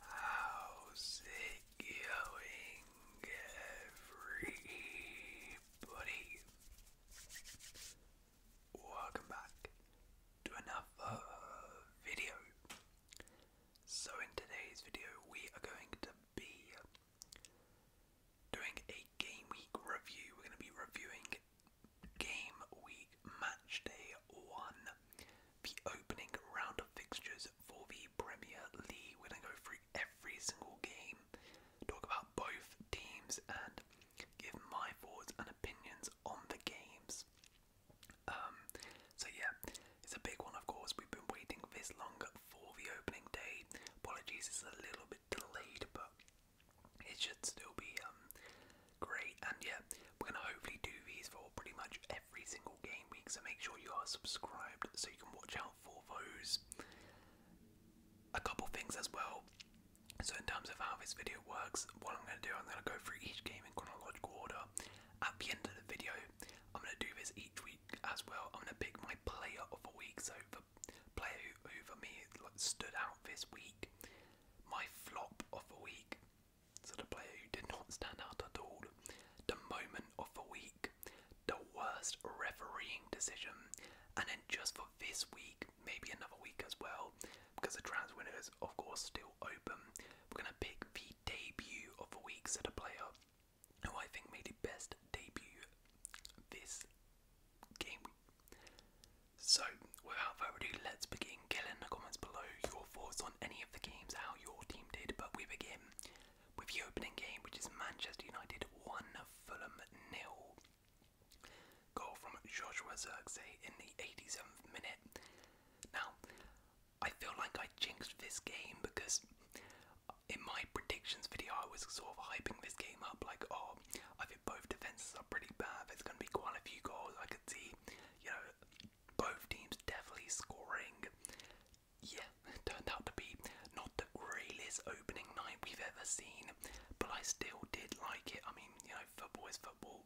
How's it going, everybody? Welcome back to another video. So, in today's video, we are going to be doing a game week review. We're going to be reviewing game week match day one, the opening round of fixtures for the Premier League. We're going to go through every single game, talk about both teams, and give my thoughts and opinions on the games. Um, so, yeah, it's a big one, of course. We've been waiting this long for the opening day. Apologies, it's a little bit delayed, but it should still be um, great. And yeah, we're gonna hopefully do these for pretty much every single game week. So make sure you are subscribed so you can watch out for those. A couple things as well. So in terms of how this video works, what I'm gonna do, I'm gonna go through each game in chronological order. At the end of the video, I'm gonna do this each week as well. I'm gonna pick my player of the week, so the player who, who me stood out this week my flop of the week. So the player who did not stand out at all. The moment of the week. The worst refereeing decision. And then just for this week, maybe another week as well, because the trans window is of course still open. We're gonna pick the debut of the week, so the player who I think made the best debut this game so, without further ado, let's begin. Kill in the comments below your thoughts on any of the games, how your team did. But we begin with the opening game, which is Manchester United 1 Fulham nil. Goal from Joshua Zirkzee in the 87th minute. Now, I feel like I jinxed this game because in my predictions video I was sort of hyping this game up like, oh, I think both defenses are pretty bad. There's going to be quite a few goals. I could see, you know, both teams definitely scoring. Yeah, turned out to be not the greatest opening night we've ever seen, but I still did like it. I mean, you know, football is football.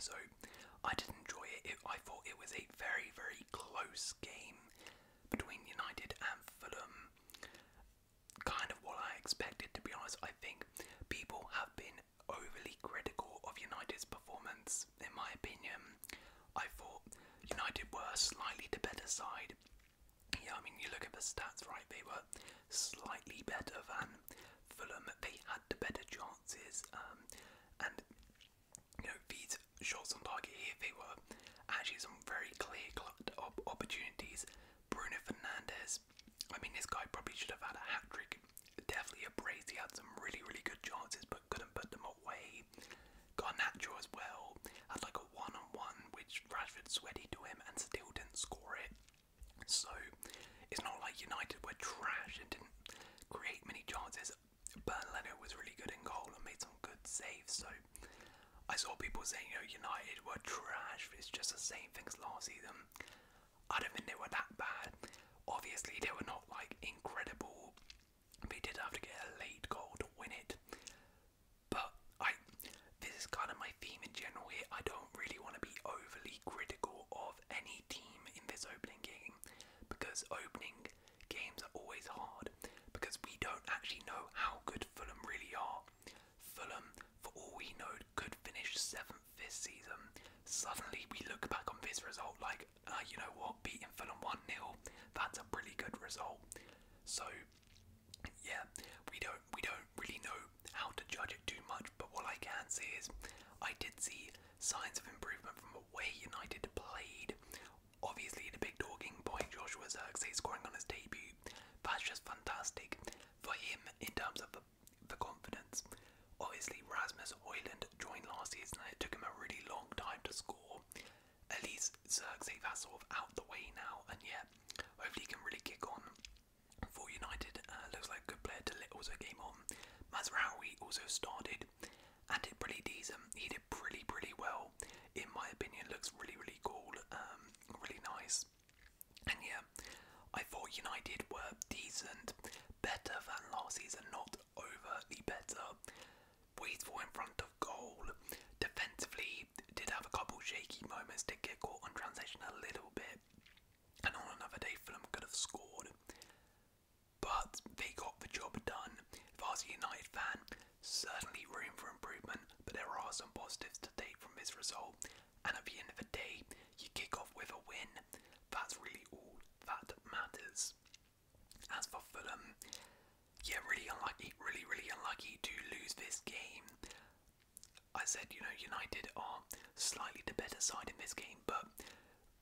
So I did enjoy it. it. I thought it was a very, very close game between United and Fulham. Kind of what I expected, to be honest. I think people have been overly critical of United's performance, in my opinion. I thought United were slightly the better side. Yeah, I mean, you look at the stats, right? They were slightly better than Fulham. They had the better chances, um, and you know these shots on target here, they were actually some very clear opportunities. Bruno Fernandez. I mean, this guy probably should have had a hat trick Definitely a brace. had some really, really good chances, but couldn't put them away. Got a natural as well. Had like a one-on-one, which Rashford sweated to him and still didn't score it. So it's not like United were trash and didn't create many chances. Bernardo was really good in goal and made some good saves. So I saw people saying, you know, United were trash. It's just the same things last season. I don't think they were that bad. Obviously, they were not like incredible. They did have to get a late goal to win it. But I, this is kind of my theme in general here. I don't really want to be overly critical of any team in this opening game because opening games are always hard because we don't actually know how good Fulham really are. Fulham, for all we know, could finish seventh this season, suddenly we look back on this result like, uh, you know what, beating Fulham 1 0, that's a pretty good result. So, yeah, we don't we don't really know how to judge it too much, but what I can say is I did see signs of improvement from the way United played. Obviously, the big talking point, Joshua Zirkzee scoring on his debut, that's just fantastic for him in terms of the for confidence. Obviously, Rasmus Hoyland joined last season and it took him a really long time to score. At least Xerxes that's sort of out the way now, and yeah, hopefully he can really kick on. For United, uh, looks like a good player to let also game on. Mazraoui also started and did pretty decent. He did pretty, pretty well. In my opinion, looks really, really cool, um, really nice. And yeah, I thought United were decent, better than last season, not overly better. Wasteful in front of goal. Defensively, did have a couple shaky moments, did get caught on transition a little bit. And on another day, Fulham could have scored. But they got the job done. If I was a United fan, certainly room for improvement, but there are some positives to take from this result and at the end of the day, you kick off with a win. That's really all that matters. As for Fulham, yeah, really unlucky, really, really unlucky to lose this game. I said, you know, United are slightly the better side in this game, but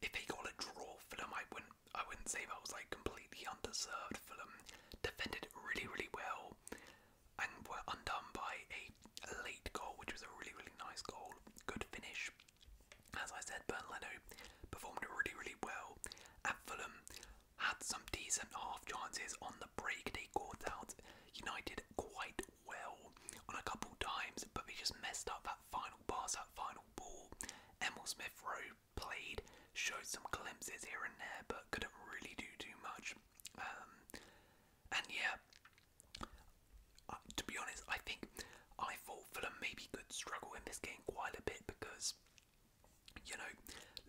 if they got a draw, Fulham, I wouldn't, I wouldn't say that was like completely undeserved. Fulham defended really, really well, and were undone by a late goal, which was a really, really nice goal good finish. As I said, Bernardo performed really, really well at Fulham. Had some decent half chances on the break. They caught out United quite well on a couple times, but they just messed up that final pass, that final ball. Emil Smith Rowe played, showed some glimpses here and there, but couldn't really do too much. Um, and yeah, uh, to be honest, I think I thought Fulham maybe could struggle in this game quite a bit because, you know,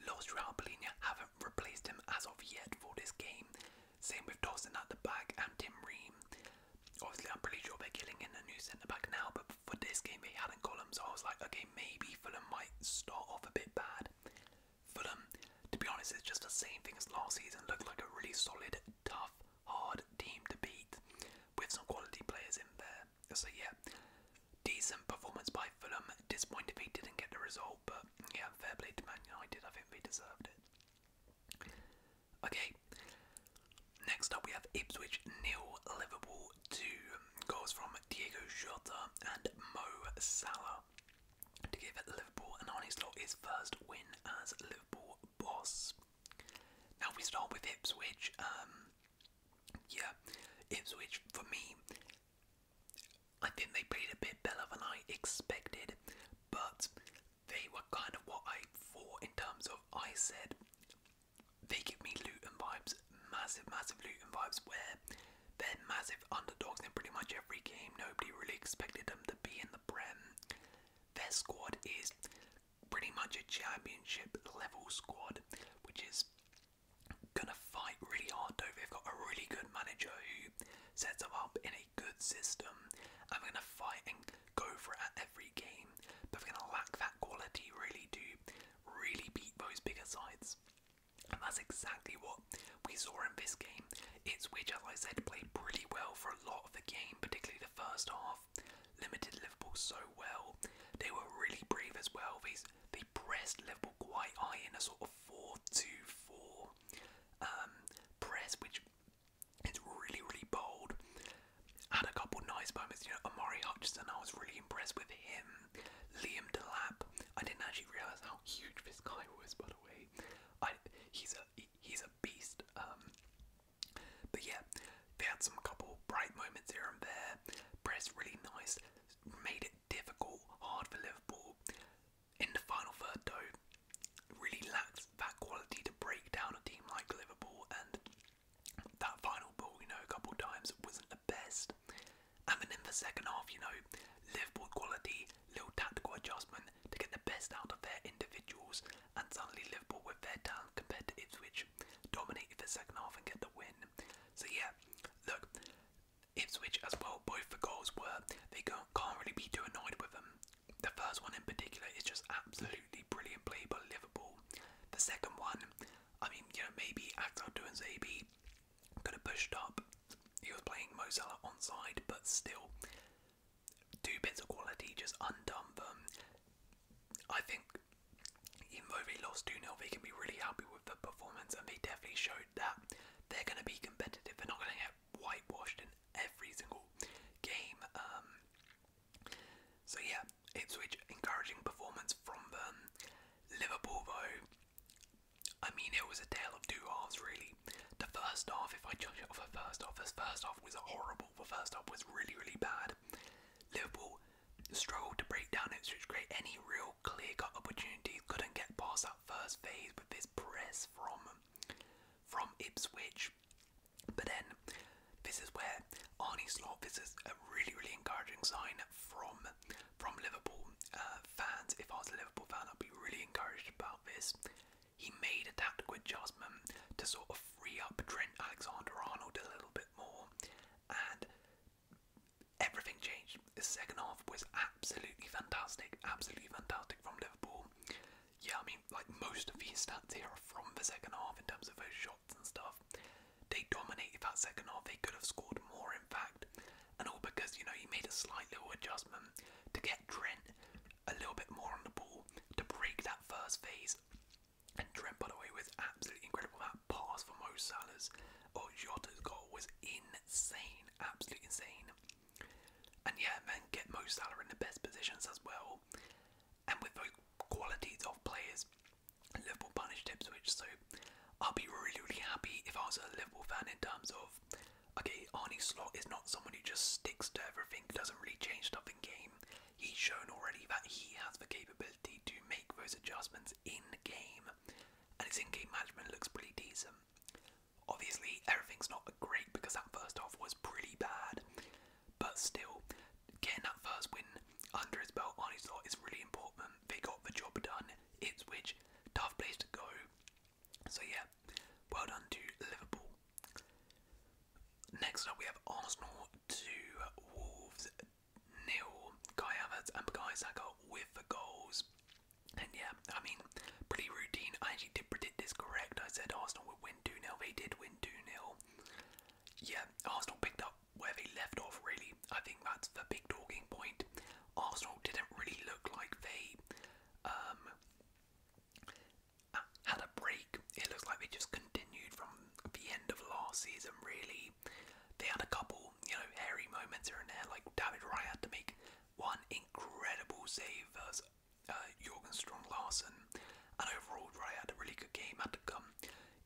Los Raulina haven't replaced him as of yet for this game. Same with Dawson at the back and Tim Ream. Obviously, I'm pretty sure they're killing in a new centre back now, but for this game they hadn't got him, so I was like, okay, maybe Fulham might start off a bit bad. Fulham, to be honest, it's just the same thing as last season. Looked like a really solid, tough, hard team to beat with some quality players in there. So, yeah, decent performance by Fulham. Disappointed they didn't get the result, but yeah, fair play to Man United. I think they deserved it. Okay, next up we have Ipswich nil Liverpool 2. Goals from Diego Jota and Mo Salah to give Liverpool an honest lot his first win as Liverpool boss. Now we start with Ipswich. Um, yeah, Ipswich for me. I think they played a bit better than I expected, but they were kind of what I thought in terms of I said they give me Luton vibes, massive, massive Luton vibes where they're massive underdogs in pretty much every game. Nobody really expected them to be in the Prem. Their squad is pretty much a championship level squad, which is gonna fight really hard though. They've got a really good manager who sets them up in a good system and they're gonna fight and go for it at every game, but they're gonna lack that quality really to really beat those bigger sides. And that's exactly what we saw in this game. It's which, I said, played pretty well for a lot of the game, particularly first half, limited Liverpool so well. They were really brave as well. These they pressed Liverpool quite high in a sort of 4-2-4 um, press, which is really really bold. Had a couple nice moments. You know, Amari Hutchinson, I was really impressed with him. Liam Delap, I didn't actually realise how huge this guy was. By the way, he's a he's a beast. Um, but yeah, they had some couple bright moments here and there. Press really nice, made it difficult, hard for Liverpool. In the final third, though, really lacked that quality to break down a team like Liverpool, and that final ball, you know, a couple times wasn't the best. And then in the second half, you know, Liverpool quality, little tactical adjustment to get the best out of their individuals and suddenly Liverpool with their talent compared to Ipswich dominated the second half and get the win. So yeah, look, Ipswich as well, both the goals were, they can't really be too annoyed with them. The first one in particular is just absolutely brilliant play by Liverpool. The second one, I mean, you know, maybe Axel doing Zabi could have pushed up. He was playing Mo on side, but still, two bits of quality, just undone them. I think even though they lost 2 0, they can be really happy with the performance, and they definitely showed that they're going to be competitive. They're not going to get whitewashed in every single game. Um, so, yeah, it's which encouraging performance from them. Liverpool, though, I mean, it was a tale of two halves, really. The first half, if I judge it off the first half, this first half was horrible the first half was really, really bad. Liverpool struggled to break down Ipswich, create any real clear-cut opportunities, couldn't get past that first phase with this press from from Ipswich. But then, this is where Arnie Slot, this is a really, really encouraging sign from from Liverpool uh, fans. If I was a Liverpool fan, I'd be really encouraged about this he made a tactical adjustment to sort of free up Trent Alexander Arnold a little bit more, and everything changed. The second half was absolutely fantastic, absolutely fantastic from Liverpool. Yeah, I mean, like most of his stats here are from the second half in terms of those shots and stuff. They dominated that second half, they could have scored more, in fact, and all because you know he made a slight little adjustment to get Trent a little bit more on the ball to break that first phase. And Trent, by the way, with absolutely incredible that pass for Mo Salah's or Jota's goal was insane, absolutely insane. And yeah, men get Mo Salah in the best positions as well. And with the qualities of players, Liverpool punished Ipswich. So I'll be really, really happy if I was a Liverpool fan in terms of okay, Arnie Slot is not someone who just sticks to everything, doesn't really change stuff in game he's shown already that he has the capability to make those adjustments in game, and his in game management looks pretty decent. Obviously, everything's not great because that first half was pretty bad, but still, getting that first win under his belt on his is really important. They got the job done, it's which tough place to go. So, yeah, well done to Liverpool. Next up, we have Arsenal 2, Wolves nil. Kai and Bukayo with goals. And yeah, I mean, pretty routine. I actually did predict this correct. I said Arsenal would win 2 0. They did win 2 0. Yeah, Arsenal picked up where they left off, really. I think that's the big talking point. Arsenal didn't really look like they um, had a break. It looks like we just continued from the end of last season, really. They had a couple, you know, hairy moments here and there. Like David Raya had to make one incredible save versus uh, Strong Larsen, and overall Raya had a really good game. Had to come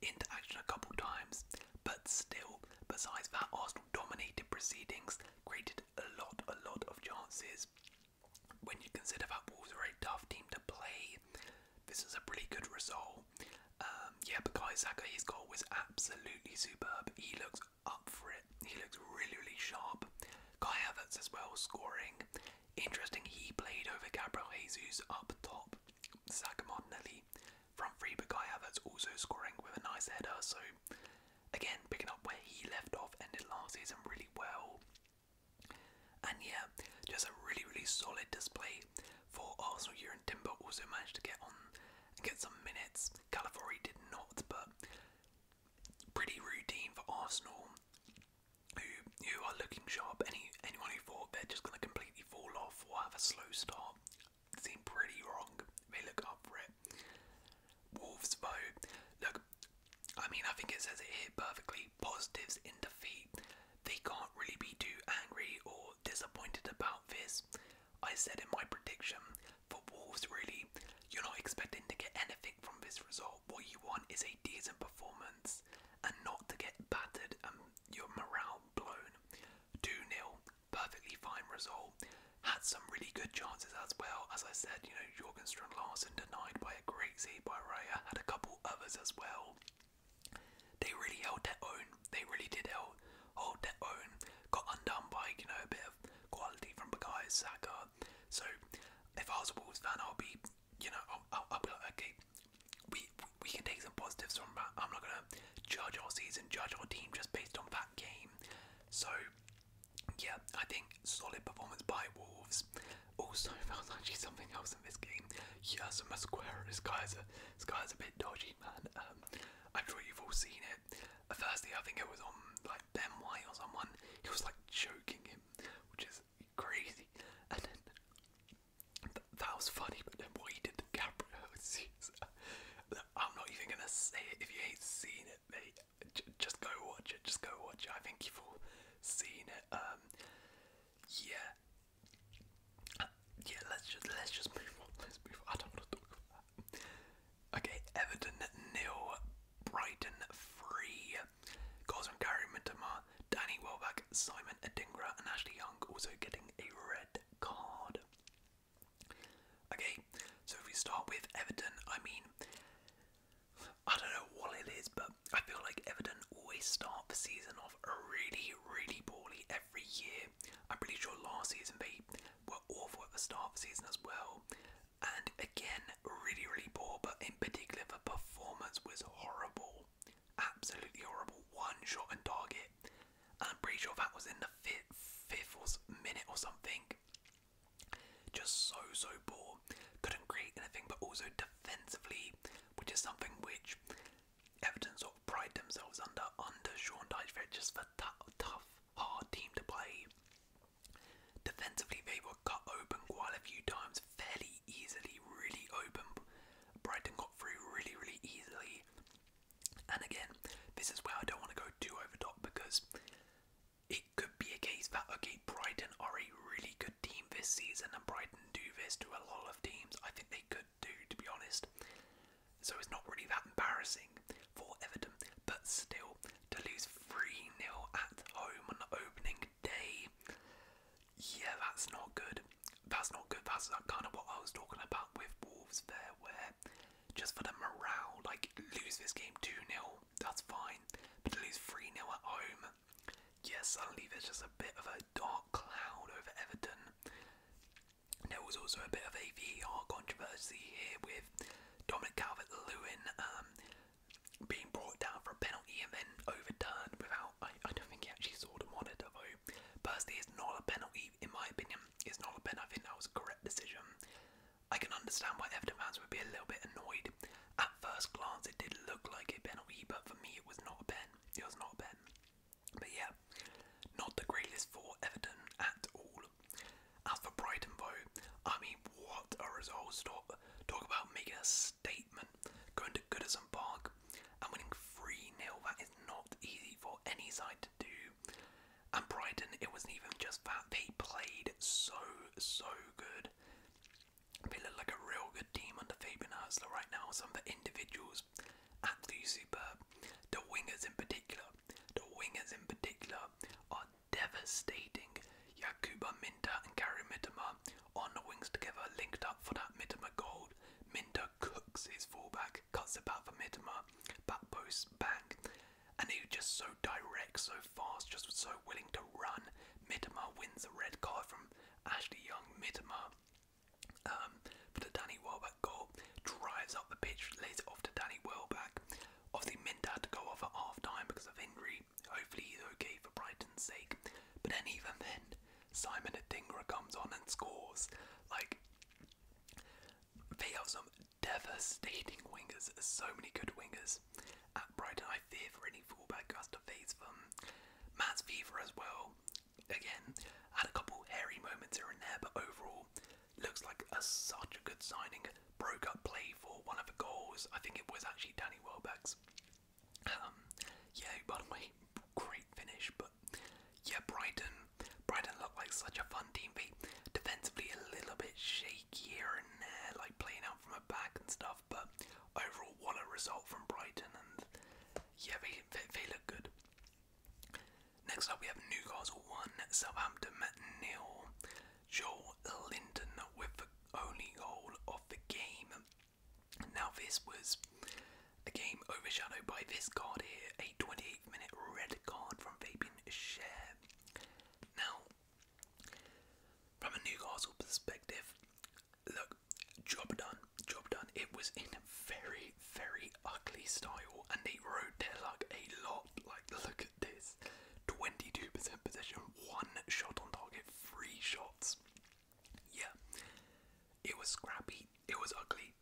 into action a couple times, but still, besides that, Arsenal dominated proceedings, created a lot, a lot of chances. When you consider that Wolves are a tough team to play, this is a pretty good result. Um, yeah, but Kai Saka, his goal was absolutely superb. He looks up for it. He looks really, really sharp. Kai Havertz as well scoring. Interesting, he played over Gabriel Jesus up top. Saka Martinelli front three, but Kai Havertz also scoring with a nice header. So again, picking up where he left off, ended last season really well. And yeah, just a really, really solid display for Arsenal. Year and Timber also managed to get on and get some minutes. Calafori did not, but pretty routine for Arsenal, who who are looking sharp. Any anyone who thought they're just going to completely fall off or have a slow start seemed pretty wrong. They look up for it. Wolves, vote look I mean, I think it says it here perfectly. Positives in defeat. They can't really be too angry or disappointed about this. I said in my prediction for Wolves, really, you're not expecting to get anything from this result. What you want is a decent performance and not to get battered and your morale blown. 2 0, perfectly fine result. Had some really good chances as well. As I said, you know, Jorgenstrand Larsen denied by a crazy by Raya had a couple others as well. They really held their own. They really did hold, hold their own. Got undone by, you know, a bit of quality from Bakai Saka. So if I was a I'll be, you know, I'll be like, okay, we, we can take some positives from that. I'm not going to judge our season, judge our team just based on that game. So, yeah, I think solid performance by Wolves. Also oh, was actually something else in this game. Yeah, so my square, this guy's a this guy's a bit dodgy, man. Um, I'm sure you've all seen it. Firstly, I think it was on like Ben White or someone. He was like choking him, which is crazy. And then that was funny, but then what he did to Gabriel, I'm not even gonna say it. If you ain't seen it, mate, just go watch it. Just go watch it. I think you've all seen it. Um, yeah, yeah. Let's just let's just move on. Let's move on. I don't want to talk about that. Okay, Everton nil, Brighton three. Goals from Gary Mitoma, Danny Welbeck, Simon Adingra, and Ashley Young also getting a red card. Okay, so if we start with Everton, I mean, I don't know what it is, but I feel like Everton always start the season off really, really poorly every year. I'm pretty sure last season they were awful at the start of the season as well. And again, really, really poor, but in particular, the performance was horrible. Absolutely horrible. One shot and target. And I'm pretty sure that was in the fifth, fifth or minute or something. Just so, so poor. Couldn't create anything, but also defensively, which is something which Everton sort of pride themselves under under Sean Dyche. they just a tough, hard team to play. Defensively, they were cut open quite a few times fairly easily, really open. Brighton got through really, really easily. And again, this is where I don't want to go too over top because it could be a case that okay, Brighton are a really good team this season, and Brighton could do this to a lot of teams. I think they could do, to be honest. So it's not really that embarrassing for Everton, but still, to lose 3 0 at home on the opening day, yeah, that's not good. That's not good. That's kind of what I was talking about with Wolves there, where just for the morale, like lose this game 2 0, that's fine, but to lose 3 0 at home, Yes, yeah, suddenly there's just a bit of a dark cloud over Everton. There was also a bit of a VAR controversy here with Dominic Calvert Lewin um, being brought down for a penalty and then overturned without. I, don't think he actually saw the monitor though. Personally, it's not a penalty, in my opinion. It's not a penalty. I think that was a correct decision. I can understand why Everton fans would be a little bit annoyed at first glance, it did look like a penalty, but for me, it was not a pen. It was not a pen. But yeah, not the greatest for done at all. As for Brighton, though, I mean, what a result! Talk about making a statement, going to Goodison Park and winning 3 0. That is not easy for any side to do. And Brighton, it wasn't even just that, they played so, so good. They look like a real good team under Fabian Herzler right now. Some of the individuals, absolutely superb. The wingers in particular, the wingers in particular are devastating. Yakuba Minta and Gary Mitoma on the wings together, linked up for that Mitoma gold. Minta cooks his fullback, cuts about for Mitoma, back post, back, And he was just so direct, so fast, just so willing to run. Mitoma wins the red card from Ashley Young, Mitoma, um, the Danny Welbeck goal, drives up the pitch, lays it off to Danny Welbeck. Obviously, Mint had to go off at half time because of injury. Hopefully, he's okay for Brighton's sake. But then, even then, Simon Adingra comes on and scores. Like, they have some devastating wingers, so many good wingers at Brighton. I fear for any fullback who has to face them. Matt's fever as well. Again, had a couple hairy moments here and there, but overall, looks like a, such a good signing. Broke up play for one of the goals. I think it was actually Danny Welbeck's. Um, yeah, by the way, great finish. But yeah, Brighton, Brighton looked like such a fun team. They defensively a little bit shaky here and there, like playing out from a back and stuff. But overall Waller result from Brighton, and yeah, we they, they good. Next up, we have Newcastle 1, Southampton nil. Joel Linton with the only goal of the game. Now, this was a game overshadowed by this card here a 28 minute red card from Fabian Share. Now, from a Newcastle perspective, look, job done, job done. It was in a very, very ugly style, and they rode their luck a lot. Like, look at this 22% possession, one shot on target, three shots. Yeah, it was scrappy, it was ugly,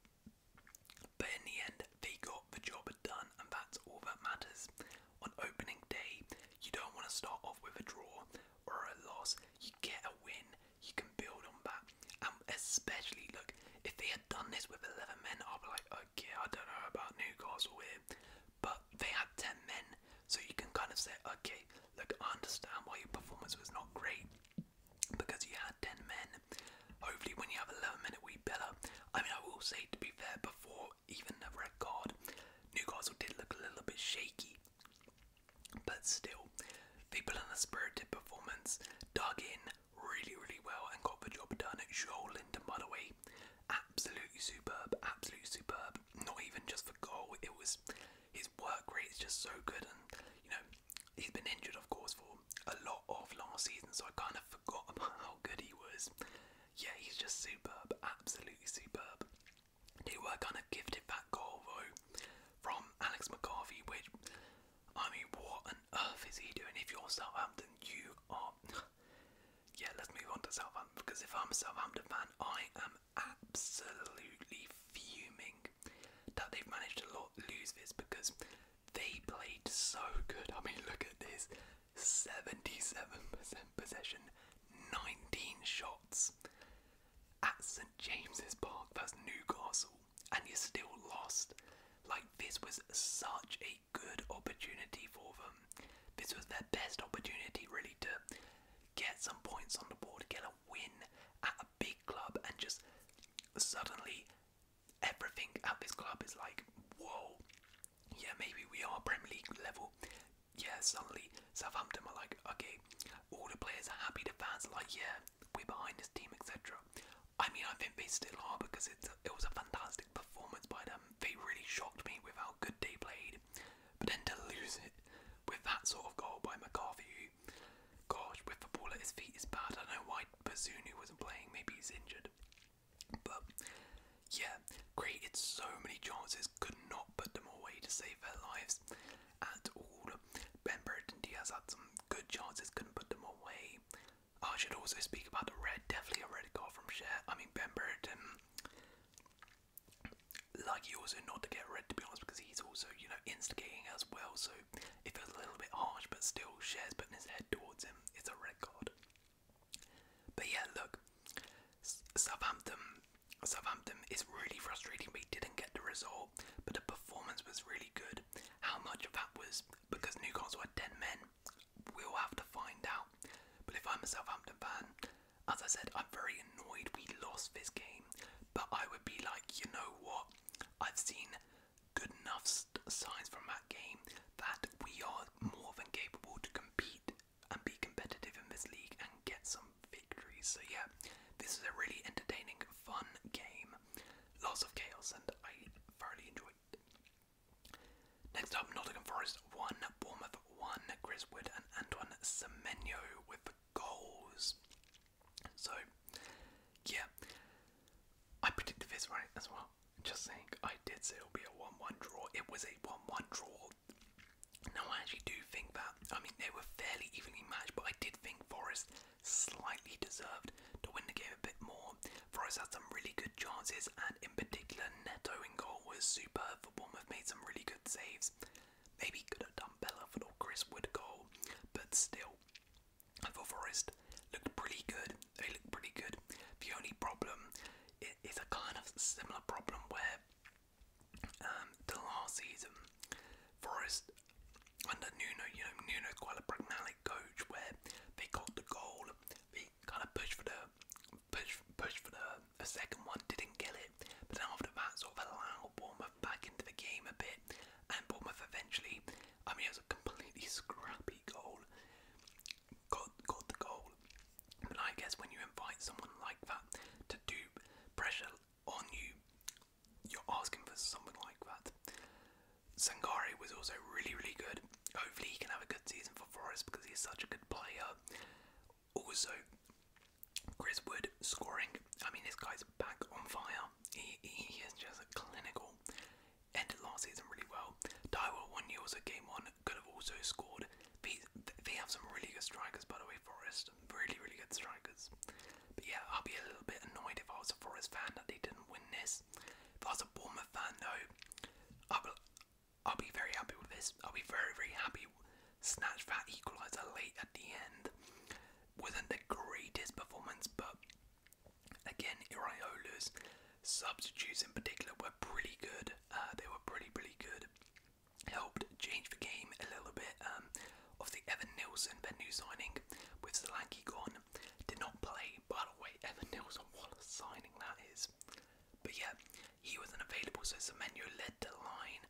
but in the end, they got the job done, and that's all that matters. On opening day, you don't want to start off with a draw or a loss you get a win, you can build on that. And especially, look, if they had done this with 11 men, I'd be like, okay, I don't know about Newcastle here. But they had 10 men, so you can kind of say, okay, look, I understand why your performance was not great because you had 10 men. Hopefully, when you have 11 men, it will be better. I mean, I will say, to be fair, before even the red card, Newcastle did look a little bit shaky. But still, people in the spirited performance dug in really, really well and got the job done. Joel Linton, by the way, absolutely superb, absolutely superb. Not even just for goal, it was his work rate is just so good. And you know, he's been injured, of course, for a lot of last season, so I kind of forgot about how good he was. Yeah, he's just superb, absolutely superb they were kind of gifted that goal though from Alex McCarthy, which I mean, what on earth is he doing? If you're Southampton, you are. yeah, let's move on to Southampton because if I'm Southampton I am absolutely fuming that they've managed to lot lose this because they played so good. I mean, look at this 77% possession, 19 shots. At St James's Park, that's Newcastle, and you're still lost. Like, this was such a good opportunity for them. This was their best opportunity, really, to get some points on the board, get a win at a big club, and just suddenly everything at this club is like, whoa, yeah, maybe we are Premier League level yeah, suddenly Southampton are like, okay, all the players are happy, the fans are like, yeah, we're behind this team, etc. I mean, I think they still are because it's it was a fantastic performance by them. They really shocked me with how good they played. But then to lose it with that sort of goal by McCarthy, gosh, with the ball at his feet is bad. I don't know why Bazunu wasn't playing. Maybe he's injured. But yeah, created so many chances, could not put them away to save their lives at all. Ben Burton Diaz had some good chances, couldn't put them away. I should also speak about the red, definitely a red card from Cher. I mean, Ben Burton, like he also not to get red to be honest, because he's also, you know, instigating as well, so it feels a little bit harsh, but still, Cher's putting his head towards him. It's a red card. But yeah, look, Southampton Southampton is really frustrating. We didn't get the result, but the performance was really good. How much of that was because Newcastle had 10 men, we'll have to find out. But if I'm a Southampton fan, as I said, I'm very annoyed we lost this game. But I would be like, you know what? I've seen good enough signs from that game that we are more than capable to compete and be competitive in this league and get some victories. So yeah, this is a really entertaining, fun game. Lots of chaos, and I thoroughly enjoyed it. Next up, Nottingham Forest 1, Bournemouth 1, Chris and Antoine Semenyo with the goals. So, yeah, I predicted this right as well. Just saying, I did say it'll be a 1 1 draw. It was a 1 1 draw. Now I actually do think that I mean they were fairly evenly matched, but I did think Forest slightly deserved to win the game a bit more. Forest had some really good chances, and in particular, Neto in goal was superb. For Bournemouth, made some really good saves. Maybe could have done better for the Chris Wood goal, but still, I thought Forest looked pretty good. They looked pretty good. The only problem is a kind of similar problem where um, last season, Forest under Nuno, you know, Nuno's quite coach where they got the goal, they kind of pushed for the push, push for the a second one, didn't kill it, but then after that sort of allowed Bournemouth back into the game a bit, and Bournemouth eventually, I mean, it was a completely scrappy goal, got got the goal, but I guess when you invite someone like that to do pressure on you, you're asking for something like that. Sangari was also really, really good. Hopefully, he can have a good season for Forest because he's such a good player. Also, Chris Wood scoring. I mean, this guy's back on fire. He, he is just a clinical. Ended last season really well. Daiwa one year also game on. Could have also scored. They, they have some really good strikers, by the way. Forest Really, really good strikers. But yeah, I'll be a little bit annoyed if I was a Forest fan that they didn't win this. If I was a Bournemouth fan, though, I will, I'll be very happy with this. I'll be very, very happy. Snatch that equaliser late at the end. Wasn't the greatest performance, but again, Iriola's substitutes in particular were pretty good. Uh, they were pretty, pretty good helped change the game a little bit um, of the Evan Nilsson, venue signing with Solanke gone. Did not play, by the way, Evan Nilsson, what a signing that is. But yeah, he was unavailable, so Semenyo led the line.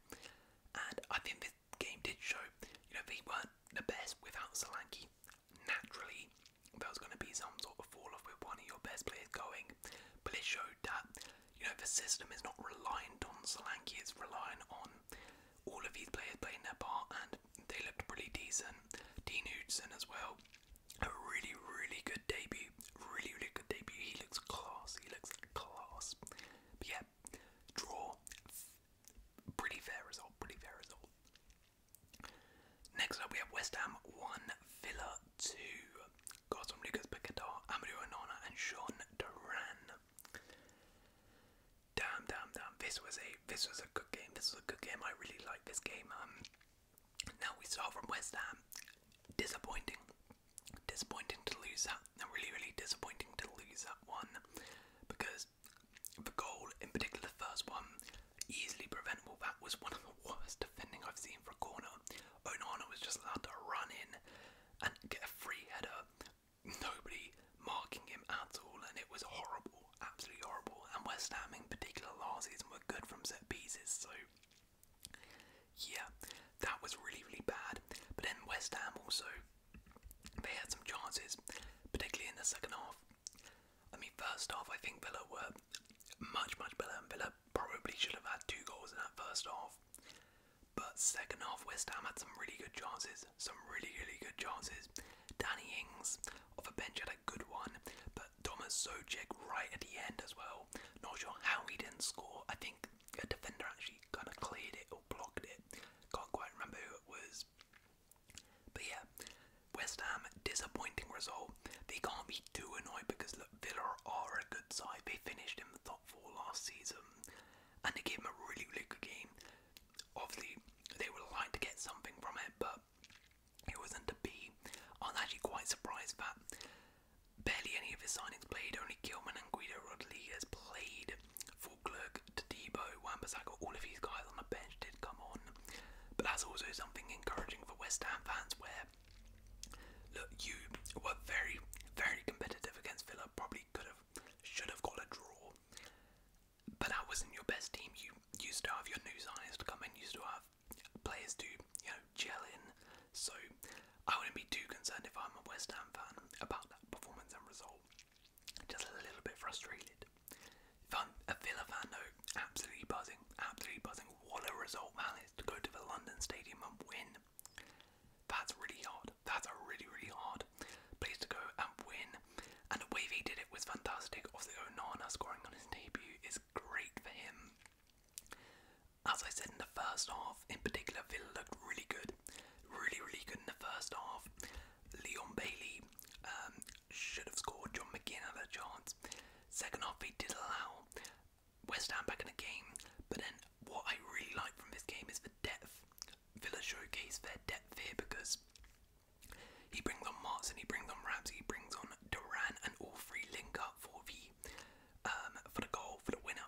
And I think this game did show, you know, they weren't the best without Solanke. Naturally, there was going to be some sort of fall off with one of your best players going. But it showed that, you know, the system is not reliant on Solanke, it's reliant on all of these players playing their part and they looked pretty decent. Dean Hoodson as well. A really, really good debut. Really, really good debut. He looks class. He looks class. But yeah, draw. Pretty fair result. Pretty fair result. Next up, we have West Ham 1, Villa 2. Goals from Lucas Paquetá, Amadou Onana, and Sean Duran. Damn, damn, damn! This was a this was a good game. This was a good game. I really like this game. Um, now we start from West Ham. Disappointing, disappointing to lose that. Really, really disappointing to lose that one because the goal, in particular, the first one, easily preventable. That was one of the worst defending I've seen for a corner. Onana was just allowed to run in and get a free header nobody marking him at all, and it was horrible, absolutely horrible. And West Ham, in particular, last season were good from set pieces, so yeah, that was really, really bad. But then West Ham also they had some chances, particularly in the second half. I mean, first half, I think Villa were much, much better, and Villa probably should have had two goals in that first half. But second half, West Ham had some really good chances, some really, really good chances. Danny Ings off a bench had a good one, but Thomas Socek right at the end as well. Not sure how he didn't score. I think a defender actually kind of cleared it or blocked it. Can't quite remember who it was. But yeah, West Ham, disappointing result. They can't be too annoyed because look, Villa are a good side. They finished in the top four last season and they gave him a really, really good game. Obviously, they were lying to get something from it, but it wasn't to be. I'm actually quite surprised that barely any of his signings played. Only Gilman and Guido has played. for Clerk to Fulclerk, Tadebo, Wambasaka, all of these guys on the bench did come on. But that's also something encouraging for West Ham fans where, look, you were very, very competitive against Villa. Probably could have have should have got a draw. But that wasn't your best team. You used to have your new signings to come in. Used to have players to you know gel in. So I wouldn't be too concerned if I'm a West Ham fan about that performance and result. Just a little bit frustrated. If I'm a Villa fan though, absolutely buzzing, absolutely buzzing. What a result, man! It's to go to the London Stadium and win. That's really hard. That's a really, really hard place to go and win. And Wavy did it was fantastic. Obviously, Onana scoring on his debut is great for him. As I said in the first half, in particular, Villa looked really good. Really, really good in the first half. Leon Bailey um, should have scored. John McGinn had a chance. Second half, he did allow West Ham back in the game, but then what I really like from this game is the depth. Villa showcase their depth here because he brings on and he brings on Ramsey, he brings on Duran, and all three link up for the um, for the goal for the winner.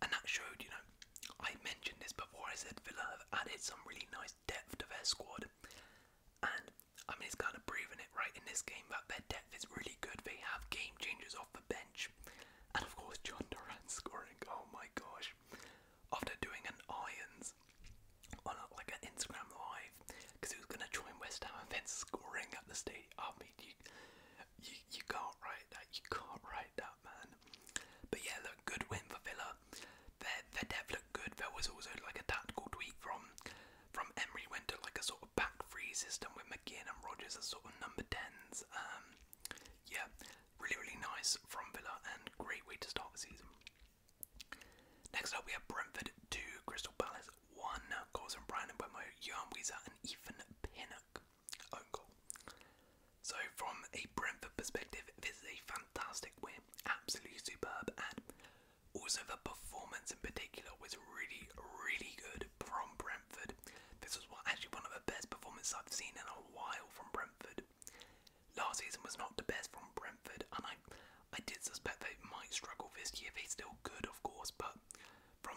And that showed, you know, I mentioned this before. I said Villa have added some really nice depth to their squad, and I mean it's kind of proven it right in this game that their depth is really good. They have game changers off the bench, and of course John Duran scoring. Oh my gosh, after doing an irons on like an Instagram live because he was gonna join West Ham and then scoring at the stadium. I mean, you, you, you can't write that. You can't write that, man. But yeah, look, good win for Villa. Their their depth looked good. There was also like a tactical tweak from from Emery went to like a sort of back three system with McGinn and Rogers as sort of number tens. Um, yeah, Really, really nice from Villa and great way to start the season. Next up, we have Brentford 2, Crystal Palace 1. Goals from Brandon Bemo, Weiser, and Ethan Pinnock. Own goal. So, from a Brentford perspective, this is a fantastic win. Absolutely superb. And also, the performance in particular was really, really good from Brentford. This was actually one of the best performances I've seen in a while from Brentford. Last season was not the best from Brentford, and I, I did suspect they might struggle this year. They still good, of course, but from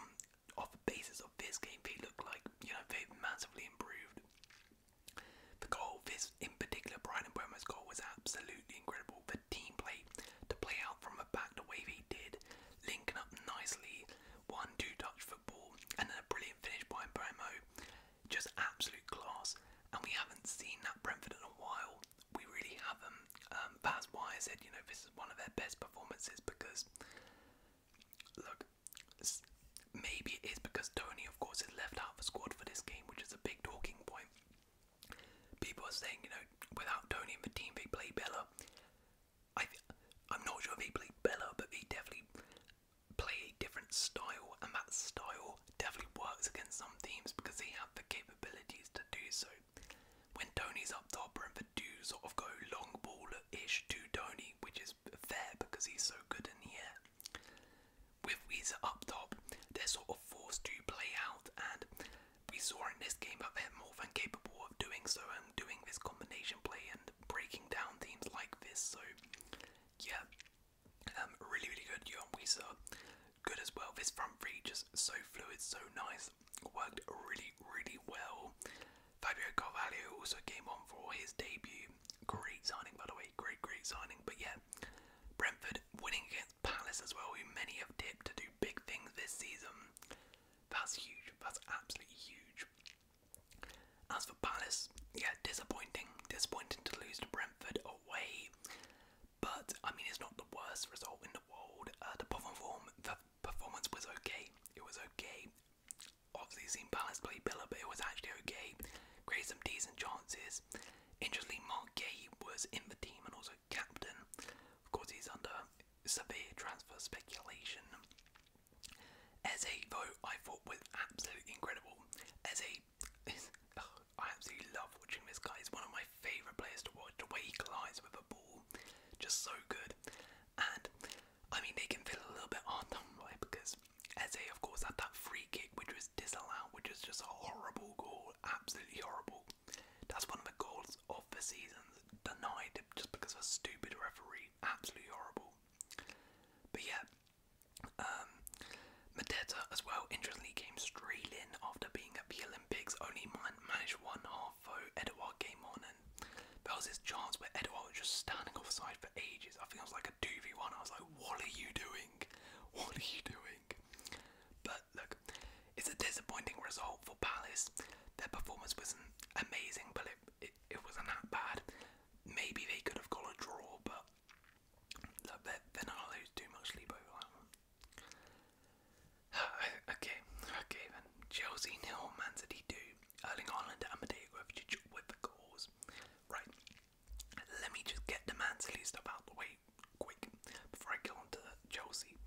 off the basis of this game, they look like you know they've massively improved. The goal, this in particular, Brian and Boma's goal was absolutely incredible. The team play to play out from the back the way they did, linking up nicely, one two touch football, and then a brilliant finish by Bomo just absolute class. And we haven't seen that Brentford in a while. We really haven't. that's why I said, you know, this is one of their best performances because, look, maybe it is because Tony, of course, is left out of the squad for this game, which is a big talking point. People are saying, you know, without Tony in the team, they play Bella. I, I'm not sure if they played Bella, but they definitely play a different style, and that style definitely works against some teams because they have the capabilities to do so. When Tony's up top, and the do sort of go long ball ish to Tony, which is fair because he's so good in the air. With Weezer up top, they're sort of forced to play out, and we saw in this game that they're more than capable of doing so and doing this combination play and breaking down themes like this. So yeah, um, really really good. Yuan Wisa, good as well. This front three just so fluid, so nice. Worked really really well. Fabio Carvalho also came on for his debut. Great signing by the way. Great great signing. But yeah, Brentford winning against Palace as well. Who many have tipped to do big things this season. That's huge. That's absolutely huge. As for Palace, yeah, disappointing. Disappointing to lose to Brentford away. But, I mean, it's not the worst result in the world. Uh, the, perform the performance was okay. It was okay. Obviously, seen Palace play Villa, but it was actually okay. Created some decent chances. Interestingly, Mark Gay was in the team and also captain. Of course, he's under severe transfer speculation. Eze though I thought was absolutely incredible. Eze is I absolutely love watching this guy. He's one of my favourite players to watch. The way he collides with the ball, just so good. And I mean, they can feel a little bit hard done by because Eze, of course, had that free kick which was disallowed, which was just a horrible goal, absolutely horrible. That's one of the goals of the season denied just because of a stupid referee, absolutely horrible. But yeah, Medeta um, as well interestingly came straight in after being at the Olympics, only managed one half though Edouard came on and there was this chance where Edouard was just standing offside for ages. I think it was like a 2v1. I was like, what are you doing? What are you doing? But look, it's a disappointing result for Palace. Their performance wasn't amazing, but it, it wasn't that bad. Maybe they could have got a draw, but okay, okay then. Chelsea nil, Man City two. Erling Haaland and Amadeo Kovacic with the goals. Right, let me just get the Man City stuff out the way quick before I go on Chelsea.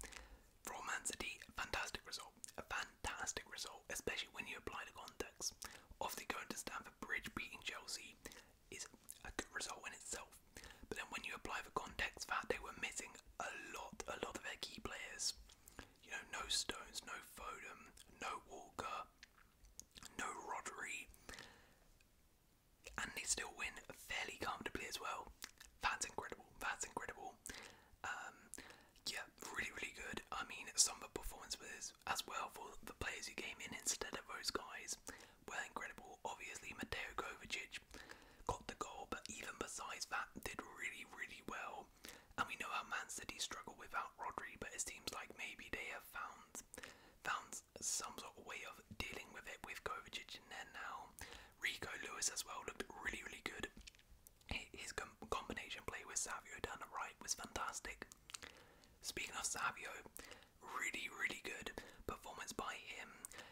For Man City, fantastic result. A fantastic result, especially when you apply the context. Obviously going to Stamford Bridge beating Chelsea is a good result in itself. But then when you apply the context that they were missing a lot, a lot of their key players. You know, no Stones, no Foden, no Walker, no Rodri. And they still win fairly comfortably as well. That's incredible. That's incredible. Um, yeah, really, really good. I mean, some of the performances as well for the players who came in instead of those guys were incredible. Obviously, Mateo Kovacic got the goal, but even besides that, did really, really well. And we know how Man City struggle without Rodri, but it seems like maybe they have found found some sort of way of dealing with it with Kovacic in there now. Rico Lewis as well looked really, really good. His combination play with Savio down the right was fantastic. Speaking of Savio, really, really good performance by him.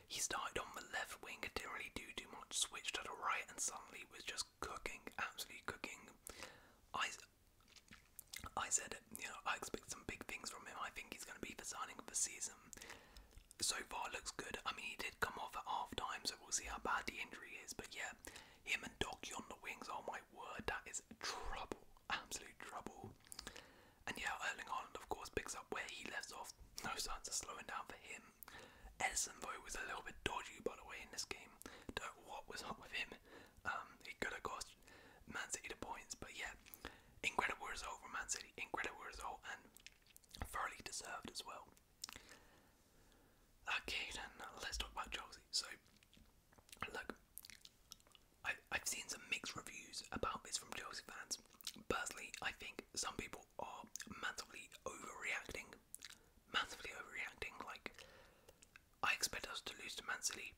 He started on the left wing, and didn't really do too much, switched to the right, and suddenly was just cooking, absolutely cooking. I, I said, you know, I expect some big things from him. I think he's going to be the signing of the season. So far, looks good. I mean, he did come off at half time, so we'll see how bad the injury is. But yeah, him and Doc on the wings, oh my word, that is trouble absolute trouble. And yeah, Erling Haaland, of course, picks up where he left off. No signs of slowing down for him. Edison, though, was a little bit dodgy, by the way, in this game. Don't know what was up with him. Um, he could have cost Man City the points, but yeah, incredible result for Man City. Incredible result and thoroughly deserved as well. Okay, then let's talk about Chelsea. So, Look, I, I've seen some mixed reviews about this from Chelsea fans. Personally, I think some people are massively overreacting. Massively overreacting. Like, I expect us to lose to Man City.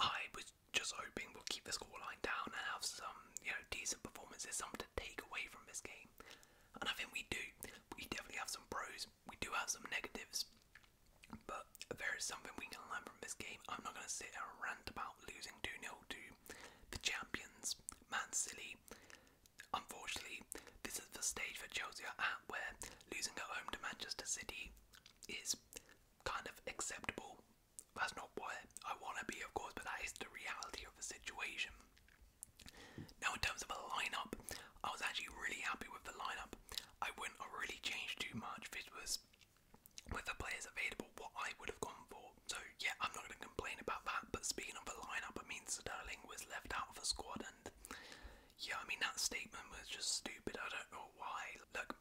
I was just hoping we'll keep the scoreline down and have some, you know, decent performances, something to take away from this game. And I think we do. We definitely have some pros we do have some negatives, but there is something we can learn from this game. I'm not going to sit and rant about losing 2 nil to the champions, Man City. Unfortunately, this is the stage that Chelsea are at where losing at home to Manchester City is kind of acceptable. That's not what I want to be, of course, but that is the reality of the situation. Now, in terms of a lineup, I was actually really happy with the lineup. I wouldn't have really changed too much. if it was with the players available, what I would have gone for. So yeah, I'm not going to complain about that. But speaking of the lineup, I mean Sterling was left out of the squad, and yeah, I mean that statement was just stupid. I don't know why. Look,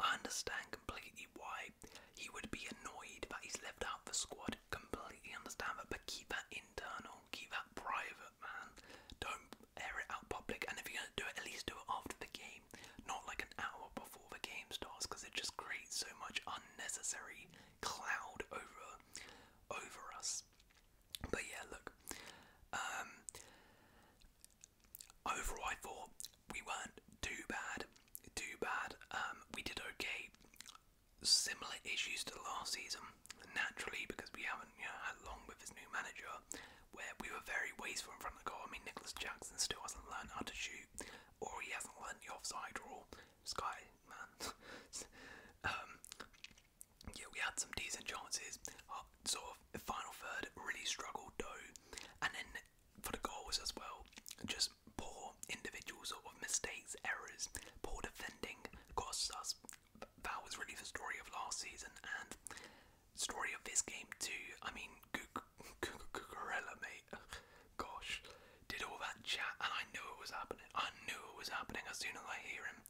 I understand completely why he would be annoyed that he's left out of the squad. Completely understand that, but keep that internal, keep that private, man. Don't air it out public. And if you yeah, do it at least do it after the game, not like an hour before the game starts, because it just creates so much unnecessary cloud over over us. But yeah, look. Um, overall, we weren't too bad. Too bad. Um, we did okay. Similar issues to last season, naturally, because we haven't you had long with this new manager where we were very wasteful in front of the goal. I mean, Nicholas Jackson still hasn't learned how to shoot, or he hasn't learned the offside rule. Sky, man. um, yeah, we had some decent chances. Our sort of final third really struggled though, and then for the goals as well, just poor individual sort of mistakes, errors, poor defending cost us. That was really the story of last season, and Story of this game too. I mean, Cucurella, mate. Gosh, did all that chat, and I knew it was happening. I knew it was happening as soon as I hear him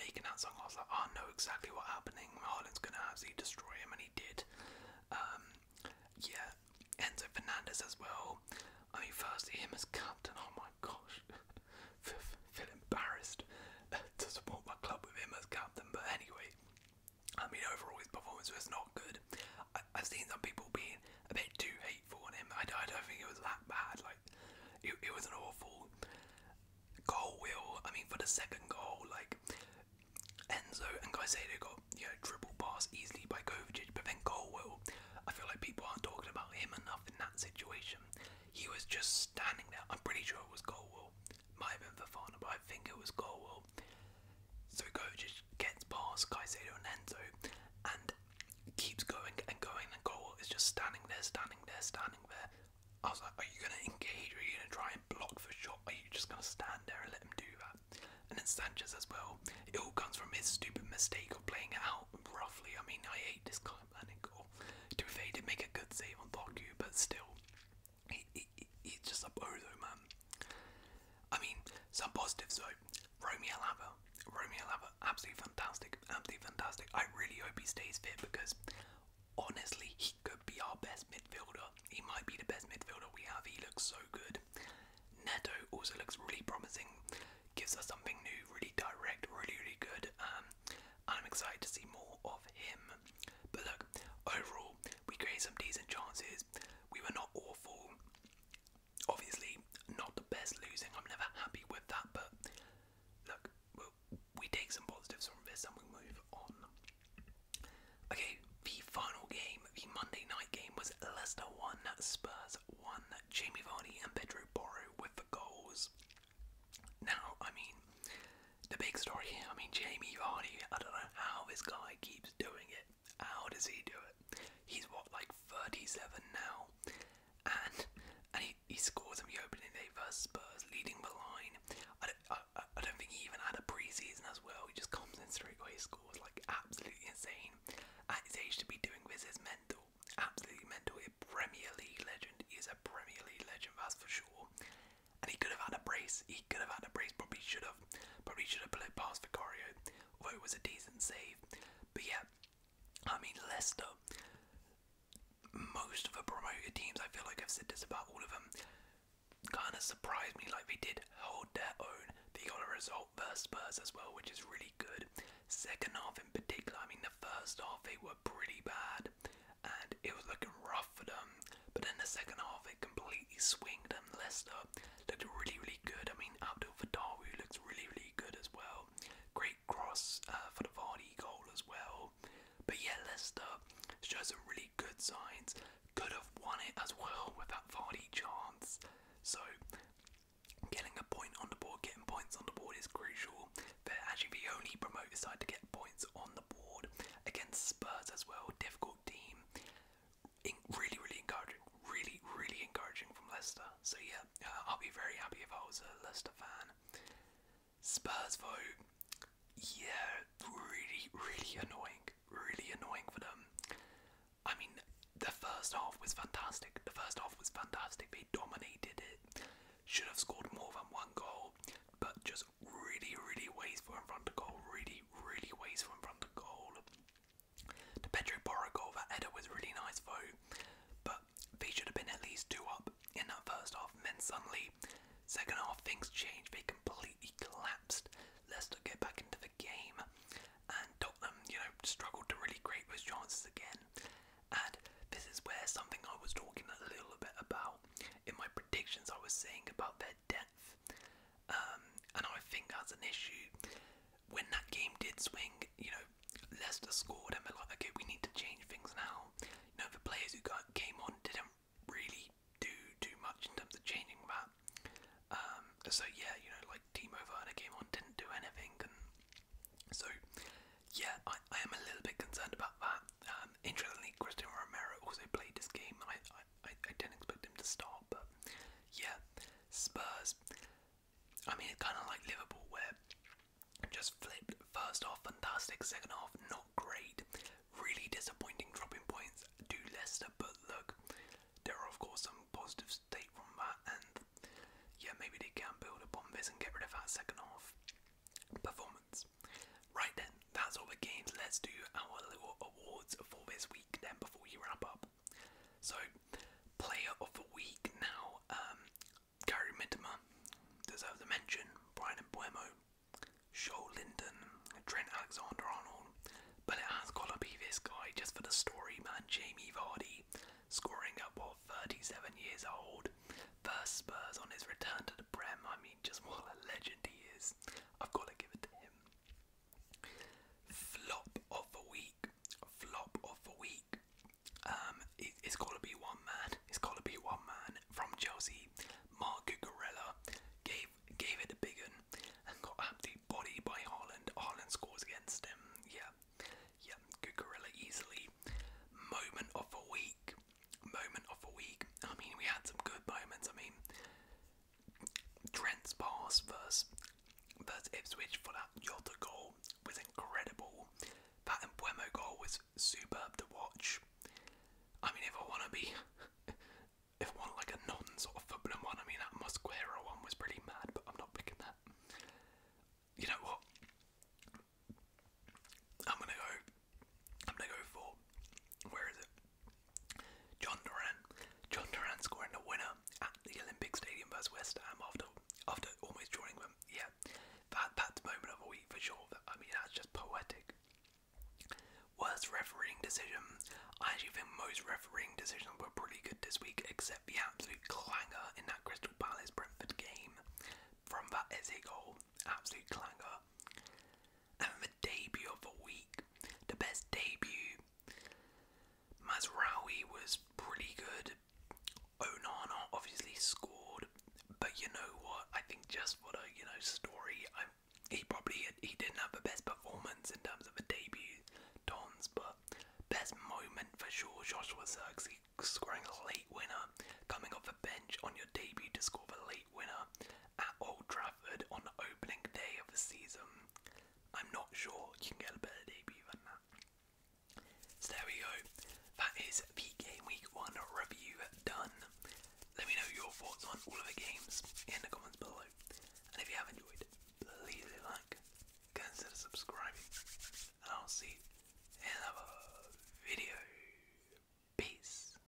making that song. I was like, oh, I know exactly what's happening. Marlin's gonna absolutely destroy him, and he did. Um, yeah, Enzo Fernandez as well. I mean, firstly him as captain. Oh my gosh, feel embarrassed. to support my club with him as captain. But anyway, I mean, overall his performance was not good. I, have seen some people being a bit too hateful on him. I, I don't think it was that bad. Like, it, it was an awful goal. Will I mean for the second goal, like Enzo and Caicedo got you know dribble pass easily by Kovacic, but then goal will. I feel like people aren't talking about him enough in that situation. He was just standing there. I'm pretty sure it was Colwell. Might have been Fafana, but I think it was Colwell. So just gets past Caicedo and Enzo and keeps going and going and Colwell is just standing there, standing there, standing there. I was like, are you gonna engage? Are you gonna try and block for shot? Are you just gonna stand there and let him do that? And then Sanchez as well. It all comes from his stupid mistake of playing it out roughly. I mean, I hate this kind of planning goal. To be fair, he did make a good save on Doku, but still, it's just a though, man. I mean, some positives though. Romeo Lava, Romeo Lava, absolutely fantastic, absolutely fantastic. I really hope he stays fit because honestly, he could be our best midfielder. He might be the best midfielder we have. He looks so good. Neto also looks really promising. Gives us something new, really direct, really, really good. Um, and I'm excited to see more of him. But look, overall, we created some decent chances. We were not awful. Obviously, not the best losing. I'm never happy with that, but look, we take some positives from this and we move on. Okay, the final game, the Monday night game, was Leicester 1, Spurs 1. Jamie Vardy and Pedro Boru with the goals. Now, I mean, the big story here, I mean, Jamie Vardy, I don't know how this guy keeps doing it. How does he do it? He's what, like 37 now? And and he, he scores on the opening day vs Spurs, leading the line. I don't, I, don't think he even had a preseason as well. He just comes in straight away, scores like absolutely insane. At his age to be doing this is mental, absolutely mental. A Premier League legend is a Premier League legend, that's for sure and he could have had a brace. He could have had a brace. Probably should have. Probably should have put it past Vicario, although it was a decent save. But yeah, I mean Leicester. Most of the promoted teams, I feel like I've said this about all of them, kind of surprised me. Like they did hold their own. They got a result first Spurs as well, which is really good. Second half in particular, I mean the first half they were pretty bad and it was looking rough for them. But in the second half, it completely swung them. Leicester looked really, really good. I mean, Abdul Fadawi looks really, really good as well. Great cross uh, for the Vardy goal as well. But yeah, Leicester shows some really good signs. Could have won it as well with that Vardy chance. So getting a point on the board, getting points on the board is crucial. They're actually the only promoted side to get points on the board against Spurs as well. Difficult team. really, really encouraging. Really, really encouraging from Leicester. So yeah, uh, I'll be very happy if I was a Leicester fan. Spurs though, yeah, really, really annoying. Really annoying for them. I mean, the first half was fantastic. The first half was fantastic. They dominated it. Should have scored more than one goal, but just really, really wasteful in front of goal. Really, really wasteful in front of goal. The Pedro Borra that header was really nice though, but they should have been at least two up in that first half. then suddenly, second half, things changed. They completely collapsed. let Leicester get back into the game, and Tottenham, you know, struggled to really create those chances again. And this is where something I was talking a little bit about in my predictions I was saying about their depth. Um, and I think that's an issue. When that game did swing, you know, Leicester scored and they're like, okay, we need to change things now. You know, the players who got, game on didn't really do too much in terms of changing that. Um, so yeah, you know, like Timo Werner came on, didn't do anything, and so yeah, I, am a little bit concerned about that. Um, um, interestingly, Cristiano Romero also played this game, I, I, I didn't expect him to start, but yeah, Spurs. I mean, it's kind of like Liverpool, where just flipped first half fantastic, second half not great, really disappointing dropping points to Leicester, but look, there are of course some positive state from that, and yeah, maybe they can build upon this and get rid of that second half performance. Right then, that's all the games. Let's do our little awards for this week then before we wrap up. So, player of the week now, um, Gary Mittimer deserves a mention, Brian Buemo, Joel Linden, Trent Alexander Arnold, but it has gotta be this guy just for the story, man, Jamie Vardy, scoring at what 37 years old, first Spurs on his return to the the I mean, just what a legend he is. I've got to give it to him. Flop of the week. Flop of the week. Um, it, has got to be one man. It's got to be one man from Chelsea. Mark Guerrilla gave gave it a big and got absolutely body by Holland. Holland scores against him. Yeah, yeah. Cucurella easily. Moment of the week moment of the week. I mean, we had some good moments. I mean, Trent's pass versus, versus Ipswich for that Jota goal was incredible. That Embuemo goal was superb to watch. I mean, if I want to be, if I want like a non sort of footballing one, I mean, that Mosquera one was pretty mad, but I'm not picking that. You know what? I'm gonna go I'm gonna go for where is it? John Duran. John Duran scoring the winner at the Olympic Stadium versus West Ham after after almost joining them. Yeah, that that's moment of the week for sure. I mean that's just poetic. Worst refereeing decision. I actually think most refereeing decisions were pretty good this week, except the absolute clanger in that Crystal Palace Brentford game. From that Eze goal, absolute clanger and the debut of the week, the best debut. Masraoui was pretty good. Onana obviously scored, but you know what? I think just for the you know story, he probably he didn't have the best performance in terms of a debut, Tons, but best moment for sure. Joshua Zirkzee scoring a late winner, coming off the bench on your a debut to score the late winner at Old Trafford on opening day of the season. I'm not sure you can get a better debut than that. So there we go. That is the Game Week 1 review done. Let me know your thoughts on all of the games in the comments below. And if you have enjoyed, please like, consider subscribing, and I'll see you in another video. Peace.